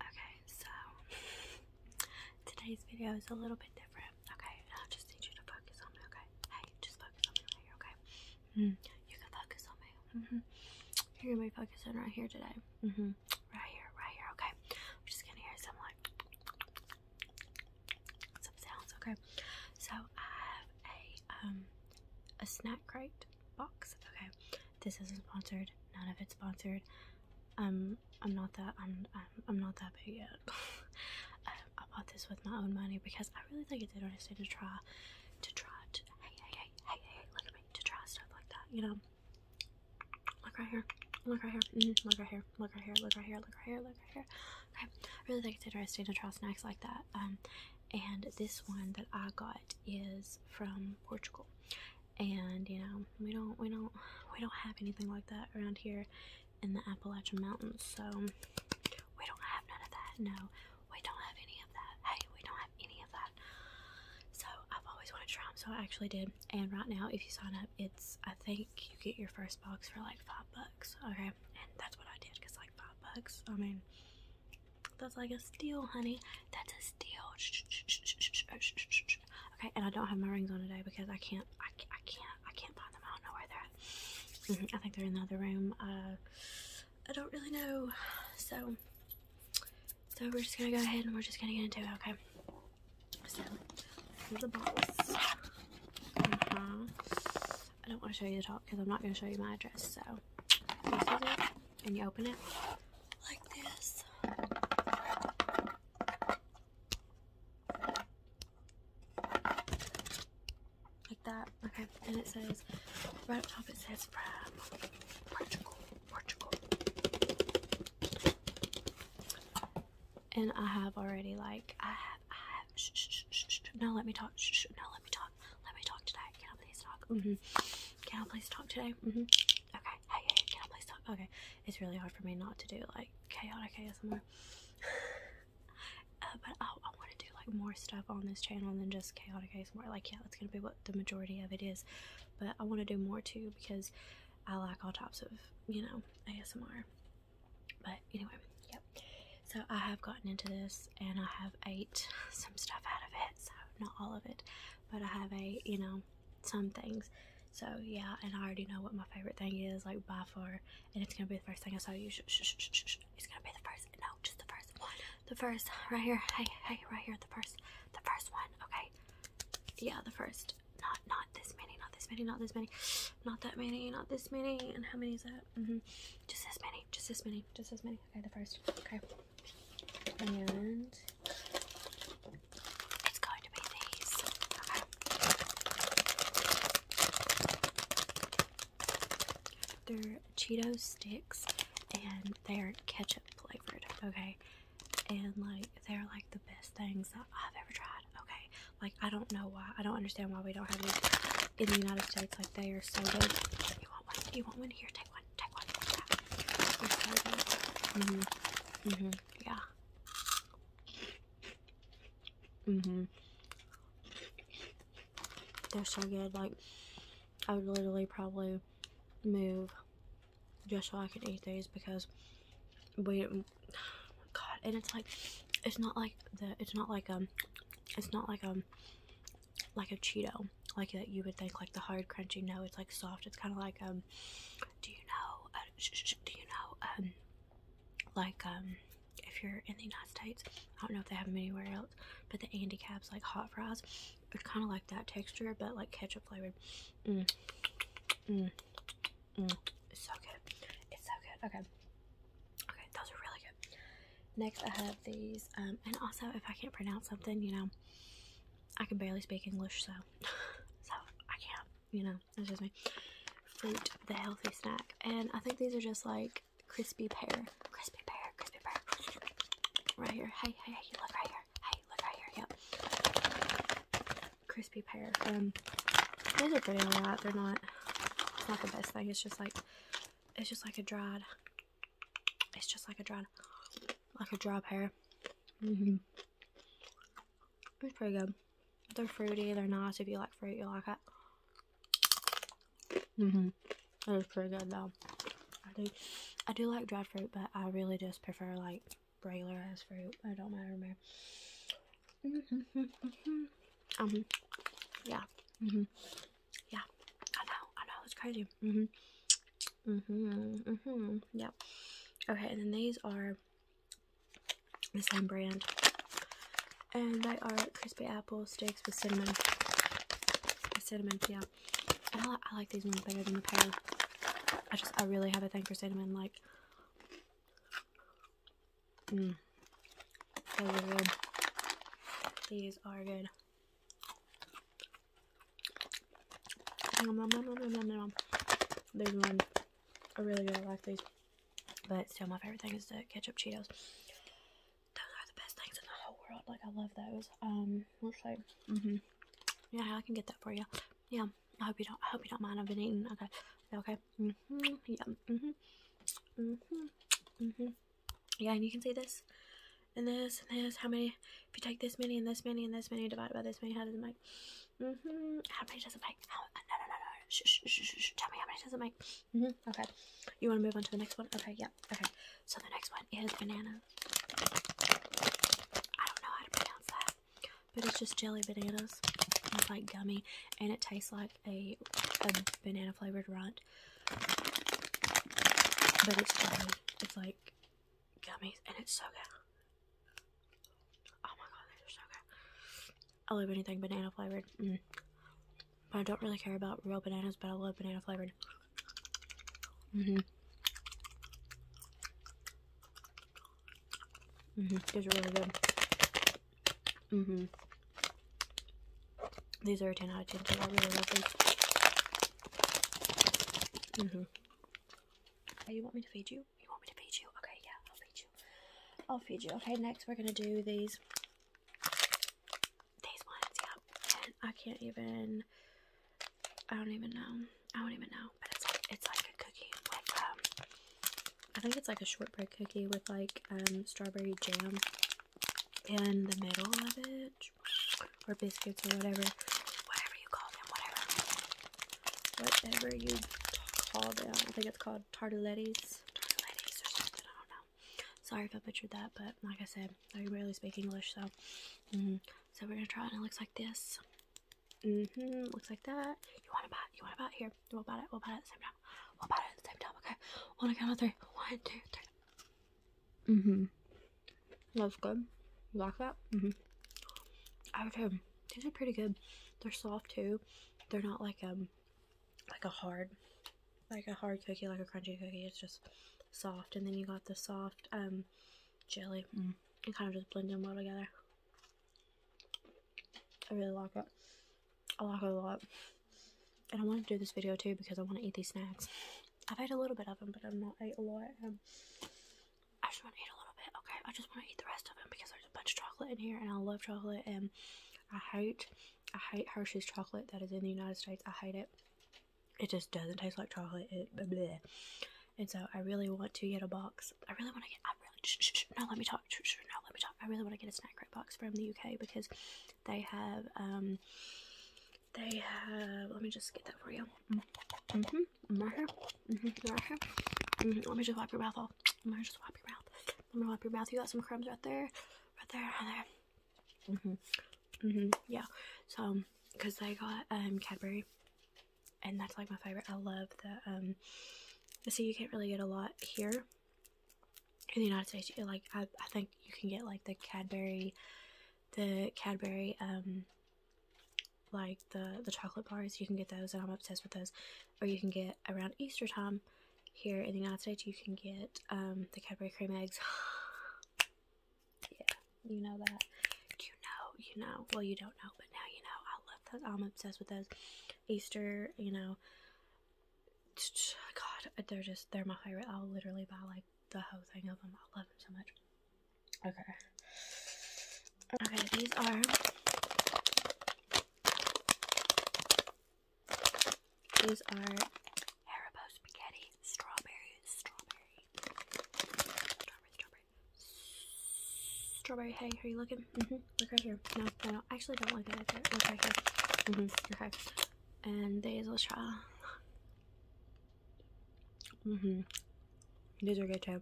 Okay, so today's video is a little bit different. Okay, I just need you to focus on me. Okay, hey, just focus on me right here. Okay, mm-hmm. you can focus on me. Mm-hmm. You're gonna be focusing right here today. Mm -hmm. Right here, right here. Okay, I'm just gonna hear some like some sounds. Okay, so I have a um a snack crate box. Okay, this isn't sponsored. None of it's sponsored. Um, I'm not that. I'm. I'm, I'm not that big yet. Um, I, bought this with my own money because I really think it's interesting to try, to try to. Hey, hey, hey, hey, hey! Look at me to try stuff like that. You know. Look right here. Look right here. Mm-hmm, look right here. Look right here. Look right here. Look right here. Look right here. Okay. I really think it's interesting to try snacks like that. Um, and this one that I got is from Portugal and you know we don't we don't we don't have anything like that around here in the Appalachian Mountains so we don't have none of that no we don't have any of that hey we don't have any of that so I've always wanted to try them so I actually did and right now if you sign up it's I think you get your first box for like five bucks okay and that's what I did because like five bucks I mean that's like a steal, honey. That's a steal. Okay, and I don't have my rings on today because I can't. I, can't. I can't find them. I don't know where they're at. Mm-hmm. I think they're in the other room. Uh, I don't really know. So, so we're just gonna go ahead and we're just gonna get into it. Okay. So, the box. Mm-hmm. I don't want to show you the top because I'm not going to show you my address. So, and you open it, like this. Like that. Okay. And it says, right up top it says from Portugal, Portugal. And I have already like, I have, I have, shh, shh, shh, shh, no, let me talk, shh, shh, no, let me talk, let me talk today. Can I please talk? Mm-hmm. Can I please talk today? Mm-hmm. Okay, hey, can I please talk? Okay, it's really hard for me not to do like chaotic ASMR. Uh, but I, I want to do like more stuff on this channel than just chaotic ASMR. Like, yeah, that's gonna be what the majority of it is. But I want to do more too because I like all types of you know ASMR. But anyway, yep. So I have gotten into this and I have ate some stuff out of it. So not all of it, but I have a you know some things. So yeah, and I already know what my favorite thing is like by far, and it's gonna be the first thing I saw you. Shh, shh, shh, shh, shh. It's gonna be the first. No, just the first one. The first right here. Hey, hey, right here. The first. The first one. Okay. Yeah, the first. Not not this many. Not this many. Not this many. Not that many. Not this many. And how many is that? Mm-hmm. Just this many. Just this many. Just this many. Okay, the first. Okay. And it's going to be these. They're Cheeto sticks and they're ketchup flavored, okay? And like they're like the best things that I've ever tried, okay? Like I don't know why. I don't understand why we don't have these in the United States. Like they are so good. You want one? You want one? Here, take one hmm hmm Yeah. hmm They're so good. Like, I would literally probably move just so I could eat these because we, God, and it's like, it's not like the, it's not like, um, it's not like, um, like a Cheeto, like that you would think like the hard crunchy. No, it's like soft. It's kind of like um, do you know? Uh, sh sh do you know um, like um, if you're in the United States, I don't know if they have them anywhere else, but the Andy Cabs like hot fries, it's kind of like that texture, but like ketchup flavored. Mm. Mm. Mm. It's so good. It's so good. Okay. Okay, those are really good. Next, I have these, um, and also if I can't pronounce something, you know, I can barely speak English, so so I can't. You know, that's just me. Fruit, the healthy snack, and I think these are just like crispy pear, crispy pear, crispy pear. Right here. Hey, hey, hey! Look right here. Hey, look right here. Yep. Crispy pear. Um, these are pretty alright. They're not. not the best thing. It's just like, it's just like a dried it's just like a dried, like a dry pear. Mm-hmm. It's pretty good. They're fruity. They're nice. If you like fruit, you like it. Mm mm-hmm. It is pretty good though. I do, I do like dried fruit, but I really just prefer like regular as fruit. I don't matter more. Mm-hmm. um, yeah. Mm -hmm. Yeah. I know. I know. It's crazy. Mm -hmm. Mm-hmm. Mm-hmm. Yeah. Okay, and then these are the same brand. And they are crispy apple sticks with cinnamon. cinnamon, yeah. I, li I like these ones better than the pear. I just, I really have a thing for cinnamon. Like, mmm. Those are good. These are good. These ones I really really like these, but still my favorite thing is the ketchup Cheetos. Those are the best things in the whole world. Like I love those. Um, looks mm hmm Yeah, I can get that for you. Yeah, I hope you don't. I hope you don't mind. I've been eating. Okay, okay. Mm hmm Yeah. Mm hmm Mm hmm hmm Yeah, and you can see this and this and this. How many? If you take this many and this many and this many divided by this many, how does it make? Mm hmm How many does it make? How, uh, no, no, no, no. Tell me how many does it make? hmm Okay. You want to move on to the next one? Okay, yeah. Okay. So the next one is banana. I don't know how to pronounce that. But it's just jelly bananas. It's like gummy. And it tastes like a banana flavored runt. But it's jelly. It's like gummies, and it's so good. Oh my god, these are so good. I love anything banana flavored. Mm. But I don't really care about real bananas, but I love banana flavored. hmm hmm These are really good. hmm These are 10 out of 10, I really love these hmm you want me to feed you? You want me to feed you? Okay, yeah, I'll feed you. I'll feed you. Okay, next we're gonna do these these ones, yeah. I can't even I don't even know. I don't even know. But it's like it's like a cookie with um I think it's like a shortbread cookie with like um strawberry jam in the middle of it, or biscuits, or whatever, whatever you call them, whatever, whatever you call them. I think it's called tartalettes, tartalettes or something. I don't know. Sorry if I butchered that, but like I said, I barely speak English, so mm-hmm. so we're gonna try And it looks like this. hmm Looks like that. You want about? You want about here? We'll about it. we about it at the same time. We'll about it at the same time. Okay. On a count of three. One, two, three. Mm-hmm. That's good. You like that? Mm-hmm. I would These are pretty good. They're soft too. They're not like um like a hard like a hard cookie, like a crunchy cookie. It's just soft, and then you got the soft um jelly. Mm. It kind of just blends in well together. I really like it. I like it a lot. And I want to do this video too because I want to eat these snacks. I've had a little bit of them, but I'm not ate a lot. of them. Um. I just want to eat a little bit, okay? I just want to eat the rest of them because there's a bunch of chocolate in here, and I love chocolate, and I hate, I hate Hershey's chocolate that is in the United States. I hate it. It just doesn't taste like chocolate. It And so I really want to get a box. I really want to get. I really. Sh- let me talk. Sh- let me talk. I really want to get a snack wrap box from the UK because they have um they have, let me just get that for you. hmm hmm hmm Let me just wipe your mouth off. Let me just wipe your mouth. Let me wipe your mouth. You got some crumbs right there, right there, there. hmm hmm yeah. So, because um, I got um, Cadbury, and that's like my favorite. I love the, um, see you can't really get a lot here in the United States. Like, I, I think you can get like the Cadbury the Cadbury um like the the chocolate bars you can get those and I'm obsessed with those or you can get around Easter time here in the United States you can get um the Cadbury cream eggs yeah you know that you know you know well you don't know but now you know I love those I'm obsessed with those Easter you know God, they're just they're my favorite. I'll literally buy like the whole thing of them. I love them so much. Okay. Okay, these are these are Haribo spaghetti, strawberry, strawberry, strawberry, strawberry, strawberry. Hey, are you looking? Mhm. look right here. No, no, no. Actually, don't look at it. Look right here. Mhm. okay. And these, let's try. Mm-hmm. These are good too.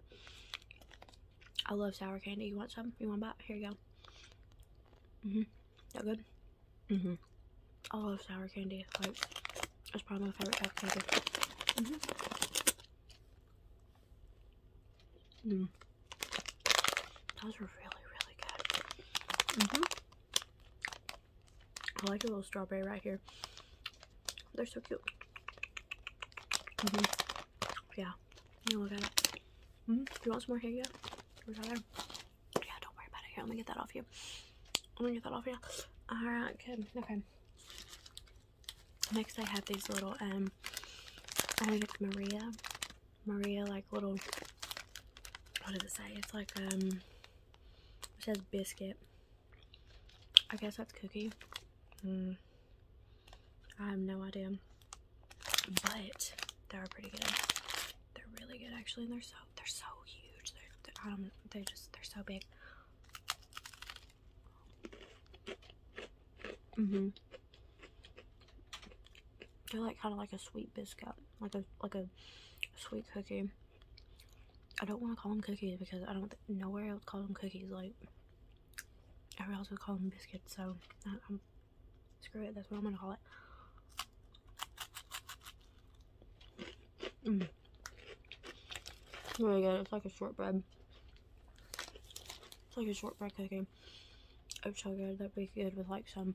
I love sour candy. You want some? You want that? Here you go. Mm-hmm. That good? Mm-hmm. I love sour candy. Like, it's probably my favorite type of candy. Mm-hmm. mm-hmm. Those were really, really good. Mm-hmm. I like a little strawberry right here. They're so cute. Mm-hmm. Yeah. You mm-hmm. You want some more? Here you Yeah, don't worry about it. Here, let me get that off you. Let me get that off you. Alright, good. Okay. Next, I have these little, um, I think it's Maria. Maria, like, little, what did it say? It's like, um, it says biscuit. I guess that's cookie. Hmm. I have no idea. But they are pretty good. They're really good actually, and they're so they're so huge. They're, they just they're so big. hmm They're like kind of like a sweet biscuit, like a like a sweet cookie. I don't want to call them cookies because I don't nowhere else call them cookies. Like everyone else would call them biscuits. So screw it. That's what I'm gonna call it. Mm. Really good. It's like a shortbread. It's like a shortbread cookie. Oh, so good. That'd be good with like some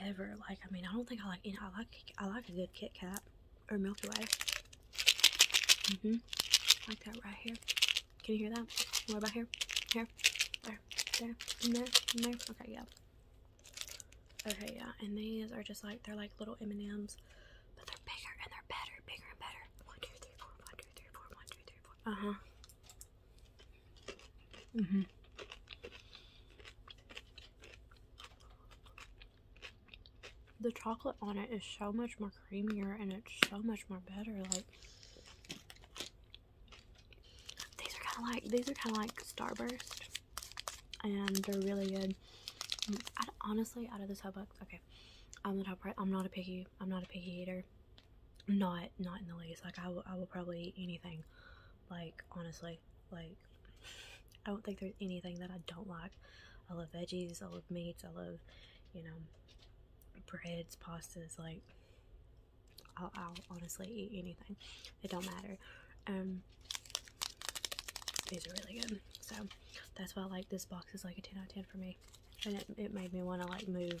ever. Like, I mean, I don't think I like. You know, I like. I like a good Kit Kat or Milky Way. Mhm. like that right here. Can you hear that? What about here? Here, there, there, and there, and there. Okay, yeah. Okay, yeah. And these are just like they're like little M and M's, but they're bigger and they're better, bigger and better. One, two, three, four. One, two, three, four. One, two, three, four. Uh huh. Mm -hmm. The chocolate on it is so much more creamier and it's so much more better. Like these are kind of like these are kind of like Starburst, and they're really good. Mm, honestly, out of this whole box, okay, I'm the top right. I'm not a picky. I'm not a picky eater. Not not in the least. Like I will, I will probably eat anything, like, honestly, like, I don't think there's anything that I don't like. I love veggies, I love meats, I love, you know, breads, pastas, like, I'll, honestly eat anything. It don't matter. Um, these are really good. So, that's why I like this box is like a 10 out of 10 for me. And it, it made me want to, like, move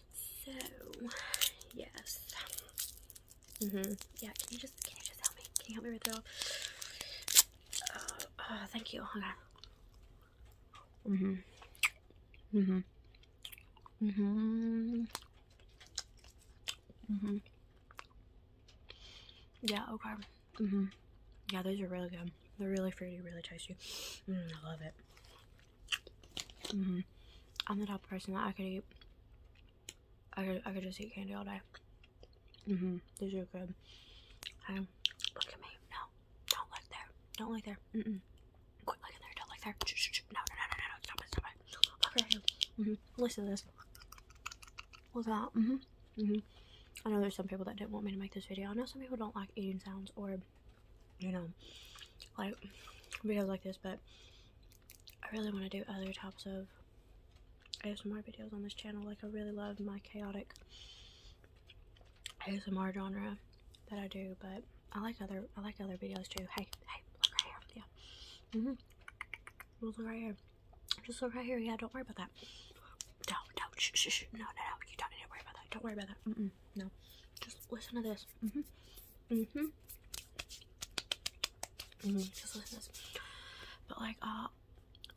so, yes. Mm hmm Yeah, can you just can you just help me? Can you help me with it all? Uh, oh, thank you. Okay. Mm hmm Mm hmm Mm hmm hmm Yeah, okay. hmm Yeah, those are really good. They're really fruity, really tasty. Mm, I love it. -hmm. I'm the top person that I could eat. I could, I could just eat candy all day. Mm hmm These are good. Okay. Look at me. No. Don't look there. Don't look there. Mm mm. Quit looking there. Don't look there. No, no, no, no, no. Stop it. Stop it. Look Mm hmm Listen this. What's that? Mm hmm Mm hmm I know there's some people that didn't want me to make this video. I know some people don't like eating sounds or you know, like videos like this, but I really want to do other types of I have some more videos on this channel. Like, I really love my chaotic ASMR genre that I do, but I like other I like other videos too. Hey, hey, look right here. Yeah. Mhm. Mm look right here. Just look right here. Yeah, don't worry about that. Don't, don't. Shh, shh, No, no, no. You don't need to worry about that. Don't worry about that no. Just listen to this. Mm hmm. Mm hmm. Mm -hmm. Just listen to this. But like, uh,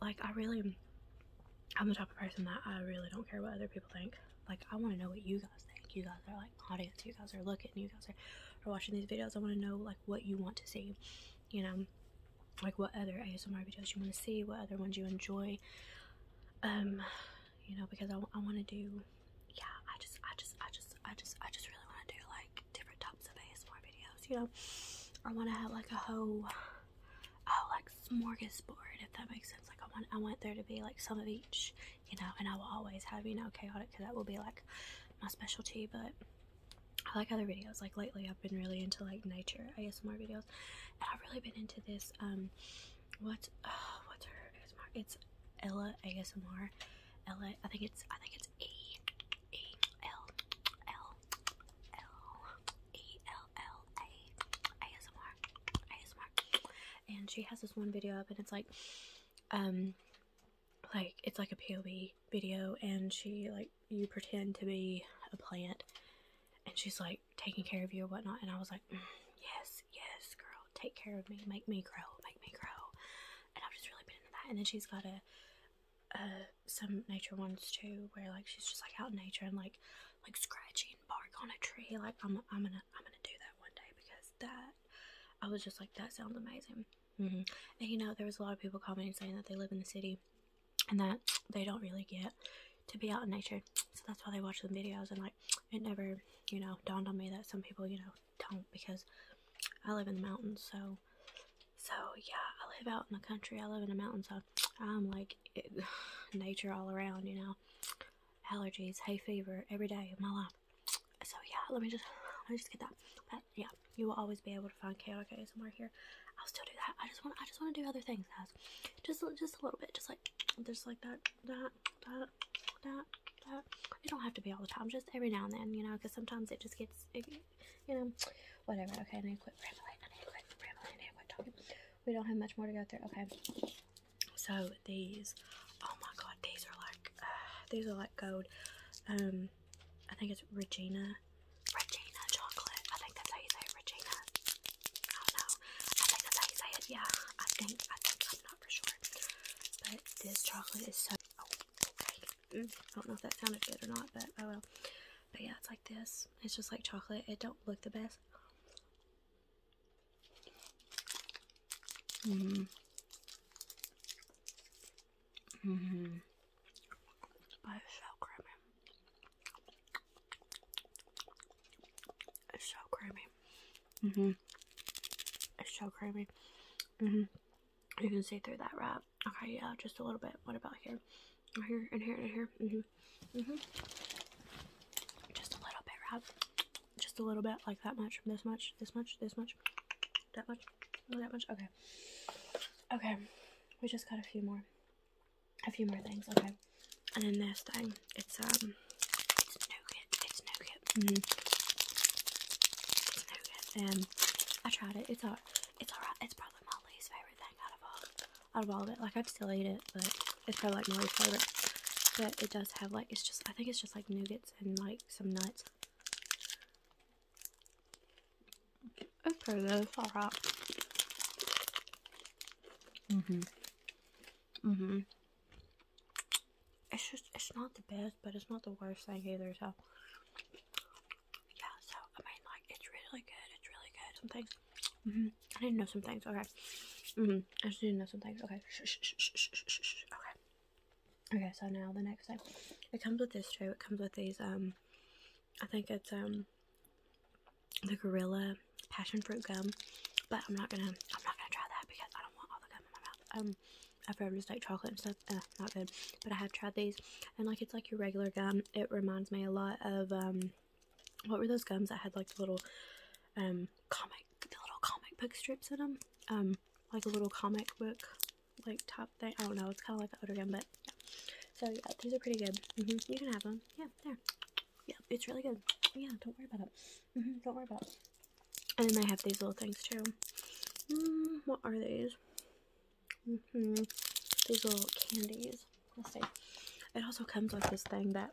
like I really, I'm the type of person that I really don't care what other people think. Like, I want to know what you guys think. You guys are like audience. You guys are looking. You guys are, are watching these videos. I want to know like what you want to see. You know, like what other ASMR videos you want to see. What other ones you enjoy. Um, you know, because I, I want to do, yeah, I just, I just, I just, I just, I just really want to do like different types of ASMR videos, you know. I want to have like a whole, oh, like smorgasbord, if that makes sense. Like I want, I want there to be like some of each, you know. And I will always have, you know, chaotic, because that will be like my specialty. But I like other videos. Like lately, I've been really into like nature ASMR videos, and I've really been into this um what? Oh, what's her ASMR? It's Ella ASMR. Ella. I think it's. I think it's E E L L L E L L A ASMR ASMR. And she has this one video up, and it's like, um, like it's like a POV video, and she like you pretend to be a plant, and she's like taking care of you or whatnot. And I was like, mm, yes, yes, girl, take care of me, make me grow, make me grow. And I've just really been into that. And then she's got a uh, some nature ones too, where like she's just like out in nature and like like scratching bark on a tree. Like I'm I'm gonna I'm gonna do that one day because that I was just like that sounds amazing. Mm-hmm. And you know there was a lot of people commenting saying that they live in the city and that they don't really get to be out in nature. So that's why they watch the videos and like it never, you know, dawned on me that some people, you know, don't because I live in the mountains, so so yeah, I live out in the country, I live in the mountains, so I'm like nature all around, you know. Allergies, hay fever, every day of my life. So yeah, let me just let me just get that. But yeah, you will always be able to find KOK somewhere here. I'll still do that. I just want I just want to do other things. Just just a little bit. Just like just like that, that, that, that, that. It don't have to be all the time, just every now and then, you know, because sometimes it just gets you know, whatever. Okay, I need to quit rambling. I need to quit rambling. I need to quit talking. We don't have much more to go through. Okay. So these oh my god, these are like these are like gold. Um I think it's Regina. Regina chocolate. I think that's how you say it, Regina don't know. I think that's how you say it. Yeah, I think. I am not for sure. But this chocolate is so. Oh, okay. Mm, I don't know if that sounded good or not, but oh well. But yeah, it's like this. It's just like chocolate. It don't look the best. Mm. Mm-hmm. hmm. But it's so creamy. It's so creamy. Mm-hmm. It's so creamy. Mm-hmm. You can see through that wrap. Okay, yeah, just a little bit. What about here? Right oh, here and here and here. Mm-hmm. Mm-hmm. Just a little bit wrap. Just a little bit, like that much, this much, this much, this much, that much, that much. Okay. Okay. We just got a few more a few more things. Okay, and then this thing, it's um, it's nougat. It's nougat. Mm -hmm. It's nougat. I tried it. It's all, it's alright. It's probably my least favorite thing out of all, out of all of it. Like I'd still eat it, but it's probably like my least favorite. But it does have like it's just I think it's just like nougats and like some nuts. Okay, that's good. alright. Mhm. Mm-hmm. It's just, it's not the best, but it's not the worst thing either, so. Yeah, so, I mean, like, it's really good. It's really good. Some things. Mm hmm I didn't know some things. Okay. hmm I didn't know some things. Okay. Okay. Okay, so now the next thing. It comes with this tray. It comes with these, um, I think it's, um, the Gorilla passion fruit gum, but I'm not gonna I'm not gonna try that because I don't want all the gum in my mouth. Um, I've heard just like chocolate and stuff, uh, not good. But I have tried these, and like it's like your regular gum. It reminds me a lot of um, what were those gums that had like the little um comic, the little comic book strips in them, um, like a little comic book like top thing. I don't know. It's kind of like an odor gum, but yeah. So yeah, these are pretty good. Mm-hmm. You can have them. Yeah, there yeah, it's really good. Yeah, don't worry about it. Mm-hmm, don't worry about it. And then I have these little things too. Mm, what are these? Mm -hmm. These little candies. It also comes with this thing that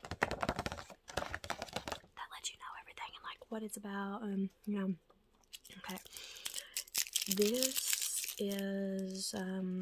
that lets you know everything and like what it's about and you know. Okay. This is um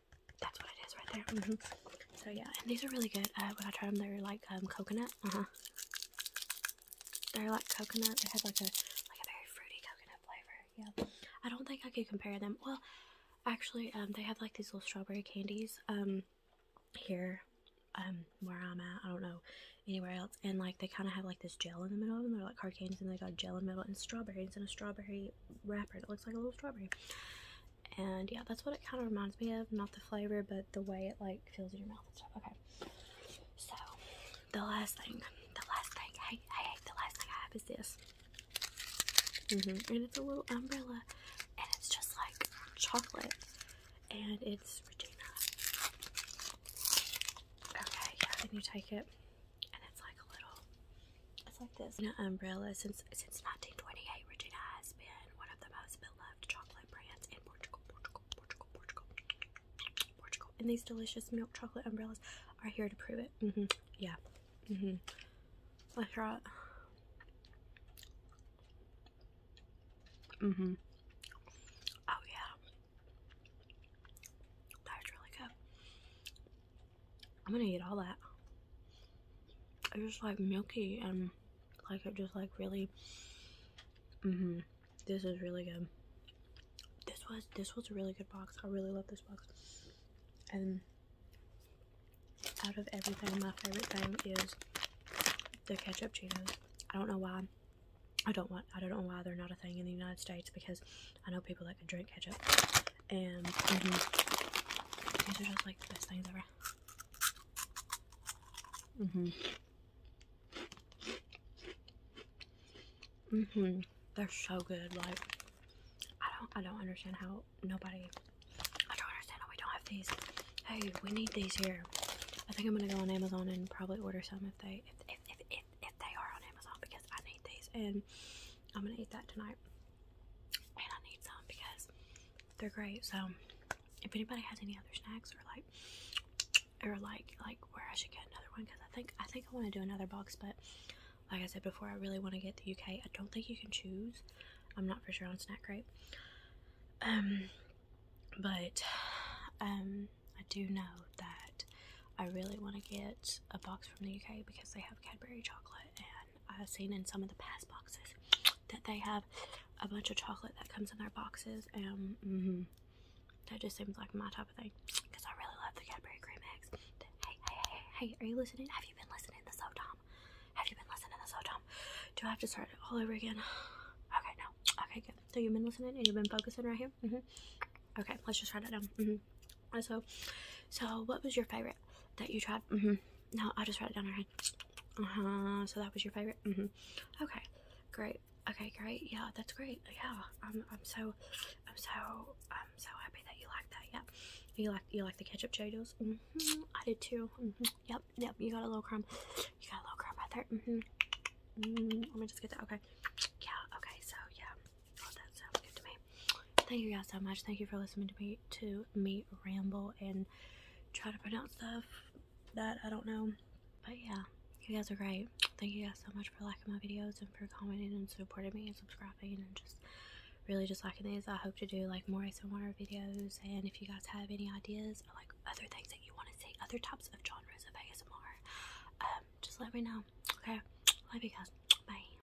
That's what it is right there. Mm-hmm. So yeah, and these are really good. Uh, when I tried them, they are like um, coconut. Uh huh. They're like coconut. They had like a like a very fruity coconut flavor. Yeah. I don't think I could compare them. Well, actually, um, they have like these little strawberry candies. Um, here, um, where I'm at, I don't know anywhere else. And like they kind of have like this gel in the middle of them. They're like hard candies, and they got gel in the middle and strawberries and a strawberry wrapper. It looks like a little strawberry and yeah that's what it kind of reminds me of not the flavor but the way it like feels in your mouth and stuff okay so the last thing the last thing hey hey the last thing i have is this mm-hmm. and it's a little umbrella and it's just like chocolate and it's regina okay yeah and you take it and it's like a little it's like this. An umbrella since since 1928, Regina has been one of the most beloved chocolate brands in Portugal, Portugal, Portugal, Portugal, Portugal. And these delicious milk chocolate umbrellas are here to prove it. Mm-hmm. Yeah. Mm-hmm. Let's try it. Mm-hmm. Oh yeah. That's really good. I'm gonna eat all that. It's just like milky and like it just like really. Mm-hmm, this is really good. This was this was a really good box. I really love this box. And out of everything, my favorite thing is the ketchup Cheetos. I don't know why. I don't want. I don't know why they're not a thing in the United States because I know people that can drink ketchup and mm -hmm. these are just like the best things ever. Mm hmm Mm hmm They're so good. Like I don't I don't understand how nobody I don't understand how we don't have these. Hey, we need these here. I think I'm gonna go on Amazon and probably order some if they if if if, if, if they are on Amazon because I need these and I'm gonna eat that tonight and I need some because they're great. So if anybody has any other snacks or like or like like where I should get another one because I think I think I want to do another box, but like I said before, I really want to get the UK. I don't think you can choose. I'm not for sure on snack grape. Um, but um, I do know that I really want to get a box from the UK because they have Cadbury chocolate and I've uh, seen in some of the past boxes that they have a bunch of chocolate that comes in their boxes, and mm -hmm, that just seems like my type of thing. Because I really love the Cadbury cream eggs. Hey, hey, hey, hey, are you listening? Have you been listening to So Dumb? Have you been listening to So Dumb? Do I have to start it all over again? Okay, no. Okay, good. So you've been listening and you've been focusing right here. Mm -hmm. Okay, let's just try that down. Mm-hmm. Also, so what was your favorite that you tried? Mm-hmm. No, i just wrote it down her Uh huh. So that was your favorite. Mm -hmm. Okay, great. Okay, great. Yeah, that's great. Yeah, I'm. I'm so. I'm so. I'm so happy that you like that. Yeah. You like you like the ketchup Cheetos? Mm -hmm. I did too. Mm -hmm. Yep, yep. You got a little crumb. You got a little crumb right there. Mm -hmm. Let me just get that. Okay. Yeah. Okay. So yeah. Oh, that sounds good to me thank you guys so much. Thank you for listening to me to me ramble and try to pronounce stuff that I don't know. But yeah, you guys are great. Thank you guys so much for liking my videos and for commenting and supporting me and subscribing and just really just liking these. I hope to do like more Ace videos and if you guys have any ideas or like other things that you want to see, other types of genres of ASMR, um, just let me know. Okay, love you guys. Bye.